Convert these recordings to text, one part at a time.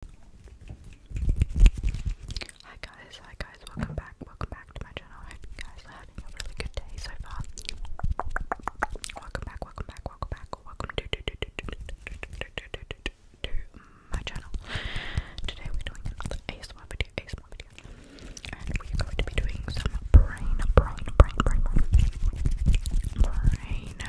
Hi guys, hi guys, welcome back, welcome back to my channel. I hope you guys are having a really good day so far. Welcome back, welcome back, welcome back, welcome to, my channel. Today we're doing another ASMR video, ASMR video. And we're going to be doing some brain, brain, brain, brain, brain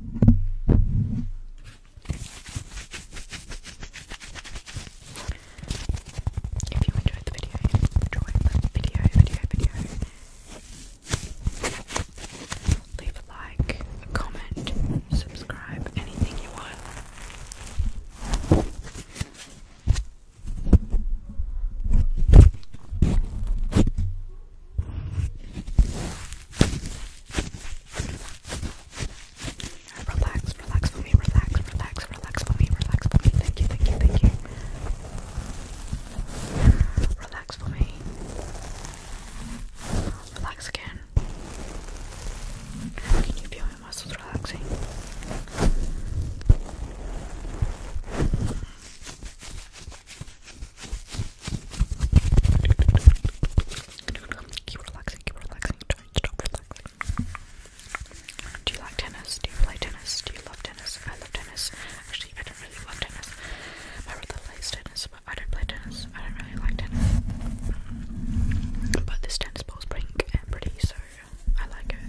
If you enjoyed the video, enjoy the video, video, video. Leave a like, a comment, subscribe, anything you want. Relax, relax for me, relax, relax, relax for me, relax for me. Thank you, thank you, thank you. Relax for me. Relax again. Can you feel my muscles relaxing? Keep relaxing, keep relaxing, don't stop relaxing. Do you like tennis? Do you play tennis? Do you love tennis? I love tennis. Actually, I don't really love tennis. My brother plays tennis, but I don't play tennis. I don't really like tennis. But this tennis ball's pink and pretty, so I like it.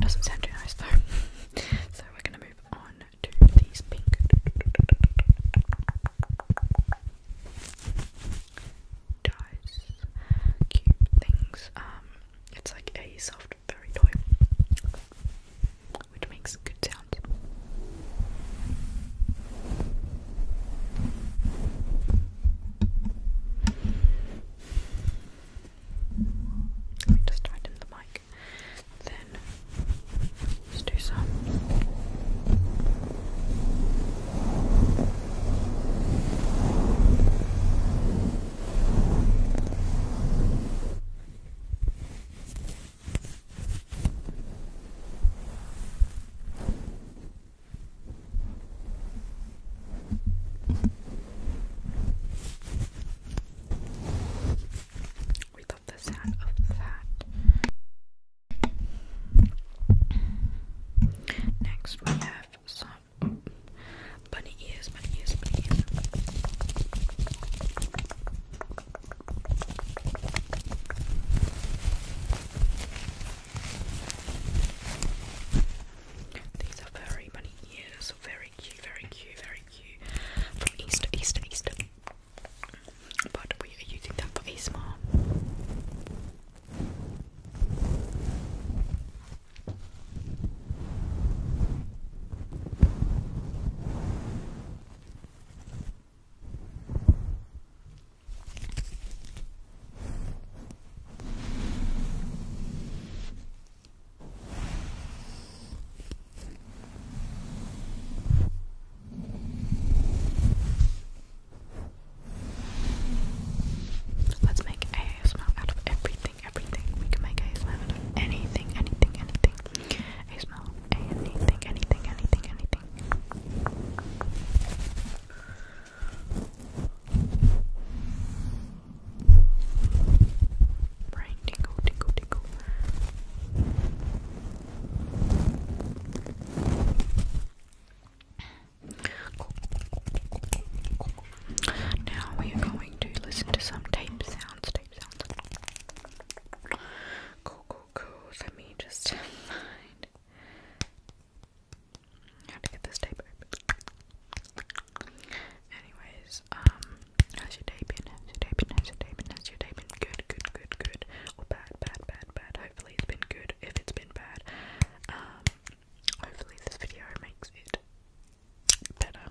Doesn't sound too nice though. so we're gonna move on to these pink. Dies, cute things. Um, it's like a soft furry toy, which makes good sound. Let me just tighten the mic. Then let's do some. We love the sound of that. Next, we have some bunny ears, bunny ears, bunny these are very bunny ears, very cute, very cute, very cute. From east to east. But we are using that for ASMR. Let's make ASMR out of everything, everything. We can make ASMR out of anything, anything, anything. ASMR anything, anything, anything, anything. Brain tingle, tingle, tingle. Now we are going to listen to some tape sounds, tape sounds code. Let me just find how to get this tape Anyways, um, how's your day been? How's your day been? How's your day been? How's your day been? Good, good, good, good. Or bad, bad, bad, bad. Hopefully it's been good. If it's been bad, um, hopefully this video makes it better.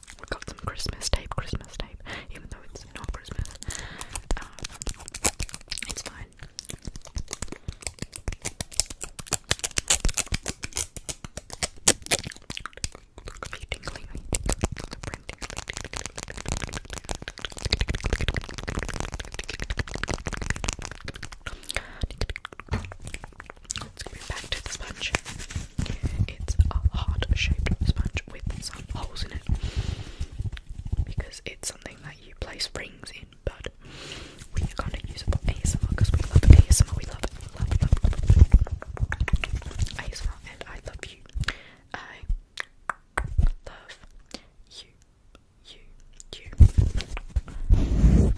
We have got some Christmas tape, Christmas tape, even though it's not Christmas. it's fine. Let's back to the sponge. It's a heart shaped sponge with some holes in it because it's something that you place rings in, but we kind of use it for ASMR because we love ASMR. We love, love, love, love ASMR, and I love you. I love you, you, you.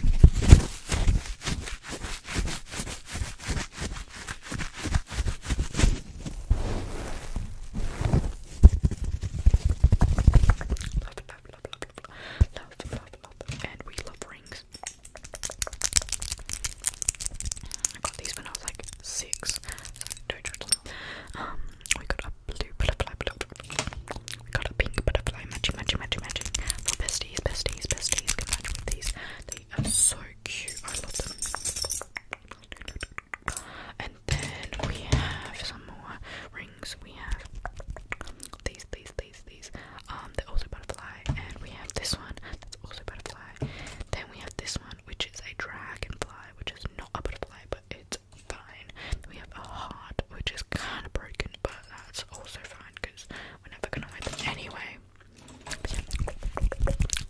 Love, love, love, love, love, love, love, and we love rings. I got these when I was like six. Um, we got a blue butterfly, We got a pink butterfly. Matching, matching, matching, besties, besties, besties can with these. They are so I love them. And then we have some more rings. We have these, these, these, these. Um, the are also butterfly. And we have this one that's also butterfly. Then we have this one, which is a dragonfly, which is not a butterfly, but it's fine. we have a heart, which is kind of broken, but that's also fine because we're never gonna wear anyway.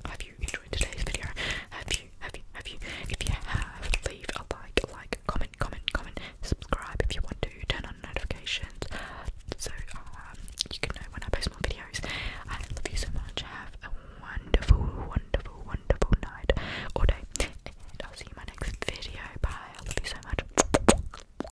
Have you enjoyed today's video? Have you? Have you? Have you? If you have, leave a like, like, comment, comment, comment, subscribe if you want to, turn on notifications so um, you can know when I post more videos. I love you so much. Have a wonderful, wonderful, wonderful night or day, and I'll see you in my next video. Bye. I love you so much.